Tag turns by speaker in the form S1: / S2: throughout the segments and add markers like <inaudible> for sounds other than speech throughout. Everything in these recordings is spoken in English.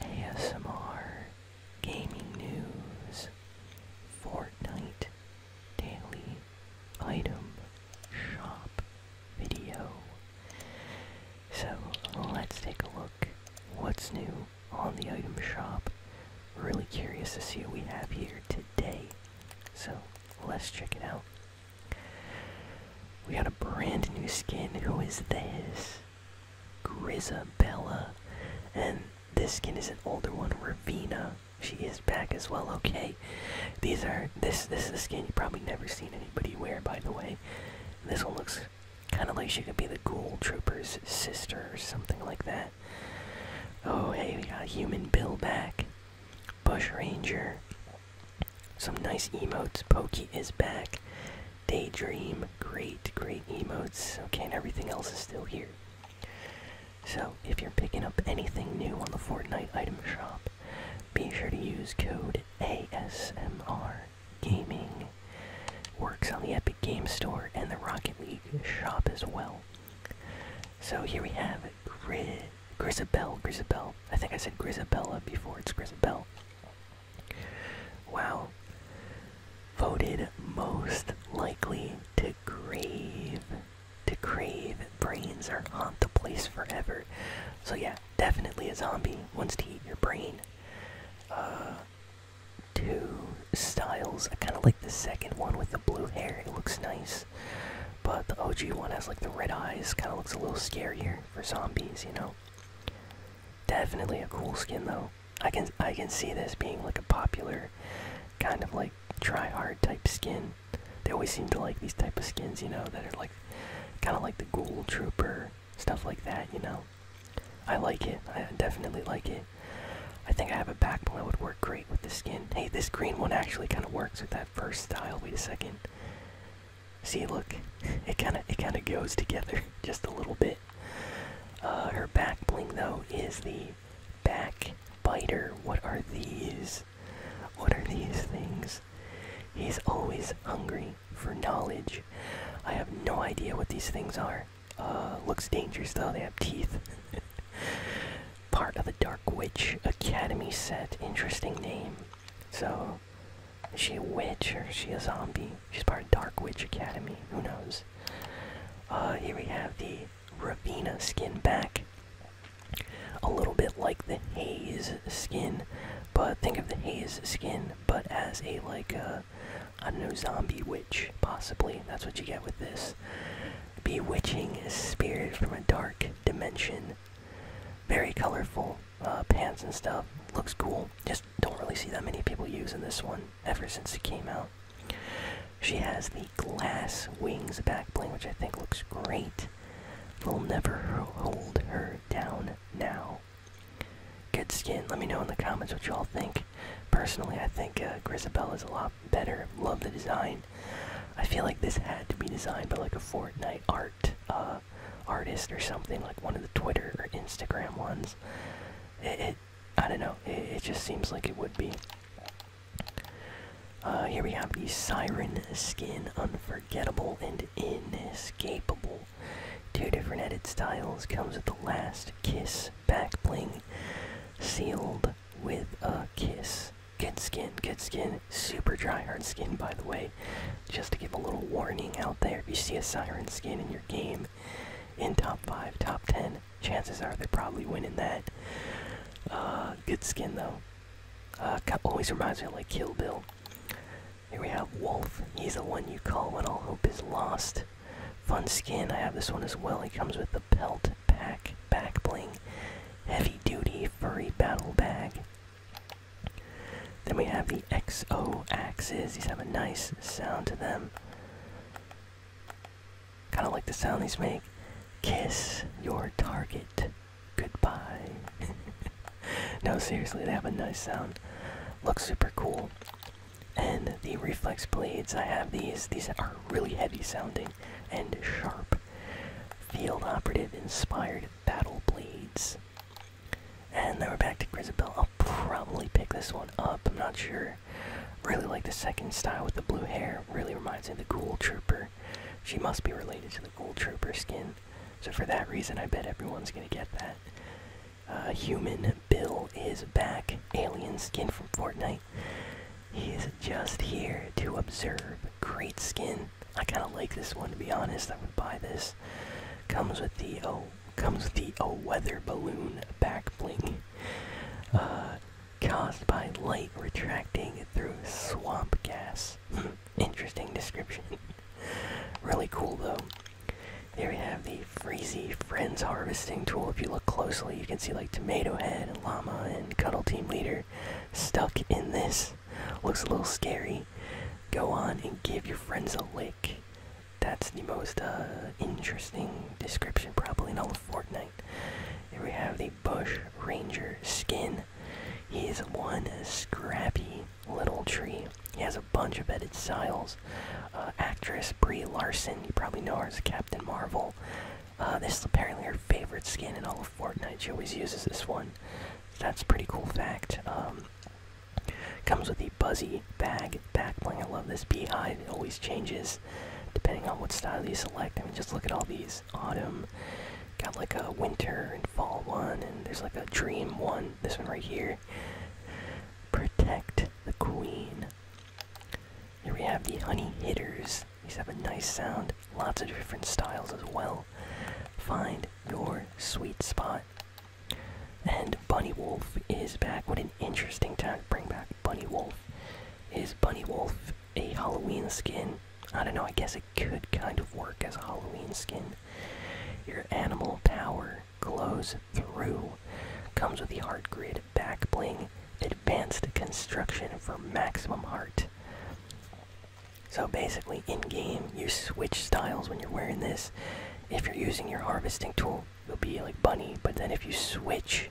S1: ASMR, gaming news, Fortnite, daily item shop video. So let's take a look what's new on the item shop. Really curious to see what we have here today. So let's check it out. We got a brand new skin. Who is this? Grisabella. And this skin is an older one, Ravina. She is back as well, okay. These are this this is a skin you probably never seen anybody wear by the way. This one looks kinda like she could be the ghoul trooper's sister or something like that. Oh hey, we got a human bill back. Bush Ranger. Some nice emotes. Pokey is back. Daydream. Great, great emotes. Okay, and everything else is still here. So, if you're picking up anything new on the Fortnite item shop, be sure to use code ASMR Gaming. Works on the Epic Game Store and the Rocket League shop as well. So, here we have Gri Grisabelle, Grisabelle. I think I said Grisabella before, it's Grisabelle. Wow. Voted most likely to crave. To crave. Brains are on the place forever. So yeah, definitely a zombie wants to eat your brain. Uh two styles. I kinda like the second one with the blue hair. It looks nice. But the OG one has like the red eyes, kind of looks a little scarier for zombies, you know. Definitely a cool skin though. I can I can see this being like a popular kind of like try hard type skin. They always seem to like these type of skins, you know, that are like kind of like the ghoul trooper stuff like that, you know. I like it. I definitely like it. I think I have a backbone that would work great with the skin. Hey, this green one actually kind of works with that first style. Wait a second. See, look, <laughs> it kind of it kind of goes together <laughs> just a little bit. Uh, her back bling though is the back biter. What are these? What are these things? He's always hungry for knowledge. I have no idea what these things are. Uh, looks dangerous though. They have teeth. <laughs> part of the Dark Witch Academy set. Interesting name. So, is she a witch or is she a zombie? She's part of Dark Witch Academy. Who knows? Uh, here we have the Ravina skin back. A little bit like the Haze skin, but think of the Haze skin, but as a like a uh, I don't know zombie witch possibly. That's what you get with this. Bewitching spirit from a dark dimension very colorful uh, pants and stuff. Looks cool. Just don't really see that many people using this one ever since it came out. She has the glass wings back bling, which I think looks great. Will never hold her down now. Good skin. Let me know in the comments what you all think. Personally, I think uh, is a lot better. Love the design. I feel like this had to be designed by like a Fortnite art uh, artist or something, like one of the Twitter or Instagram ones. It, I don't know. It, just seems like it would be. Uh, here we have the Siren skin, unforgettable and inescapable. Two different edit styles. Comes with the last kiss back bling, sealed with a kiss. Good skin, good skin. Super dry hard skin, by the way. Just to give a little warning out there, if you see a siren skin in your game, in top 5, top 10, chances are they're probably winning that. Uh, good skin, though. Uh, always reminds me of like Kill Bill. Here we have Wolf. He's the one you call when all hope is lost. Fun skin. I have this one as well. He comes with the pelt. Pack Back Bling Heavy Duty Furry Battle Bag. Then we have the XO axes. These have a nice sound to them. Kind of like the sound these make. Kiss your target. Goodbye. <laughs> no, seriously, they have a nice sound. Looks super cool. And the reflex blades, I have these. These are really heavy sounding and sharp. Field Operative inspired Battle Blades. And then we're back to Grizzabelle. I'll probably pick this one up. I'm not sure. Really like the second style with the blue hair. Really reminds me of the Ghoul Trooper. She must be related to the Ghoul Trooper skin. So for that reason, I bet everyone's gonna get that. Uh, human Bill is back. Alien skin from Fortnite. He is just here to observe. Great skin. I kind of like this one to be honest. I would buy this. Comes with the oh, comes with the oh weather balloon back bling. Uh, caused by light retracting through swamp gas. <laughs> Interesting description. <laughs> really cool though. There we have the Freezy Friends Harvesting Tool. If you look closely, you can see like tomato head, Lama and cuddle team leader stuck in this. Looks a little scary. Go on and give your friends a lick. That's the most uh, interesting description probably in all of Fortnite. Here we have the Bush Ranger skin. He's one scrappy little tree. He has a bunch of edit styles. Uh, actress Brie Larson, you probably know her as Captain Marvel. Uh, this is apparently her favorite skin in all of Fortnite. She always uses this one. That's a pretty cool fact. Um, comes with the Buzzy bag backbling. I love this bee beehive. It always changes depending on what style you select. I mean, just look at all these. Autumn. Got like a winter and fall one, and there's like a dream one. This one right here. Protect the queen. Here we have the honey hitters. These have a nice sound, lots of different styles as well. Find your sweet spot. And Bunny Wolf is back. What an interesting time to bring back Bunny Wolf. Is Bunny Wolf a Halloween skin? I don't know, I guess it could kind of work as a Halloween skin. Your animal power glows through. Comes with the heart grid back bling, advanced construction for maximum heart. So basically, in game, you switch styles when you're wearing this. If you're using your harvesting tool, you'll be like bunny, but then if you switch,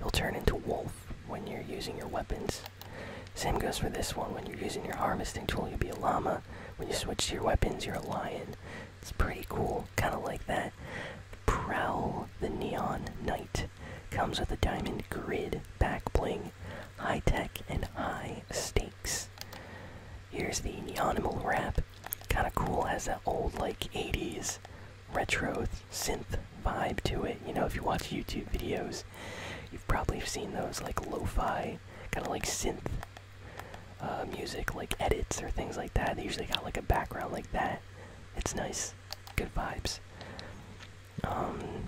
S1: you'll turn into wolf when you're using your weapons. Same goes for this one. When you're using your harvesting tool, you'll be a llama. When you switch to your weapons, you're a lion. It's pretty cool, kind of like that. Prowl the Neon Knight comes with a diamond grid back bling, high tech, and high stakes. Here's the Neonimal wrap. Kind of cool, has that old, like, 80s retro synth vibe to it. You know, if you watch YouTube videos, you've probably seen those, like, lo fi, kind of like synth uh, music, like edits or things like that. They usually got, like, a background like that. It's nice. Good vibes. Um,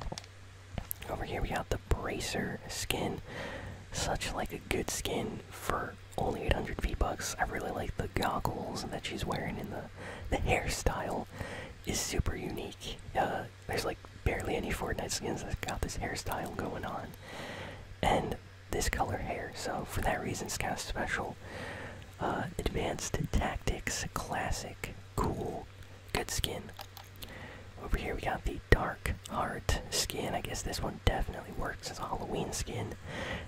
S1: over here we got the bracer skin. Such like a good skin for only 800 V-Bucks. I really like the goggles that she's wearing and the the hairstyle is super unique. Uh, there's like barely any Fortnite skins that got this hairstyle going on. And this color hair. So for that reason, Scout's special. Uh, advanced Tactics Classic. Cool. Good skin. Over here we got the Dark Heart skin. I guess this one definitely works as a Halloween skin.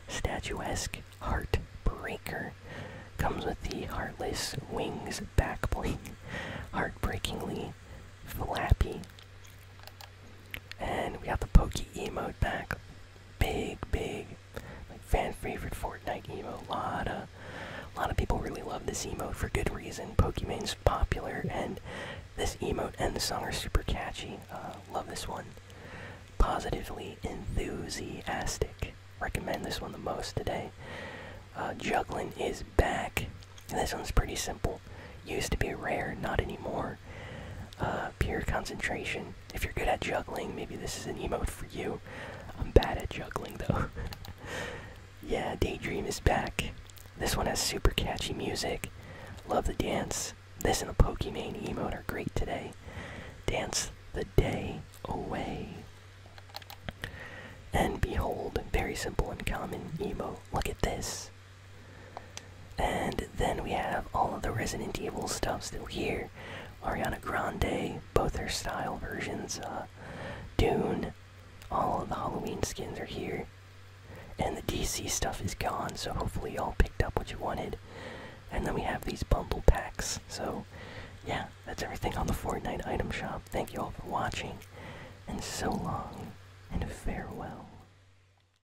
S1: Statuesque Heartbreaker. Comes with the Heartless Wings back bling. Heartbreakingly flappy. And we have the Pokey emote back big, big, fan favorite Fortnite emote. A lot of, a lot of people really love this emote for good reason. Pokemon's popular, and this emote and the song are super catchy. Uh, love this one. Positively enthusiastic. Recommend this one the most today. Uh, juggling is back. This one's pretty simple. Used to be rare, not anymore. Uh, pure concentration. If you're good at juggling, maybe this is an emo for you. I'm bad at juggling though. <laughs> yeah, Daydream is back. This one has super catchy music. Love the dance. This and the Pokimane emo are great today. Dance the day away. And behold, very simple and common emo. Look at this. And then we have all of the Resident Evil stuff still here. Ariana Grande, both her style versions, uh, Dune, all of the Halloween skins are here. And the DC stuff is gone, so hopefully you all picked up what you wanted. And then we have these bundle packs. So, yeah, that's everything on the Fortnite item shop. Thank you all for watching, and so long, and farewell.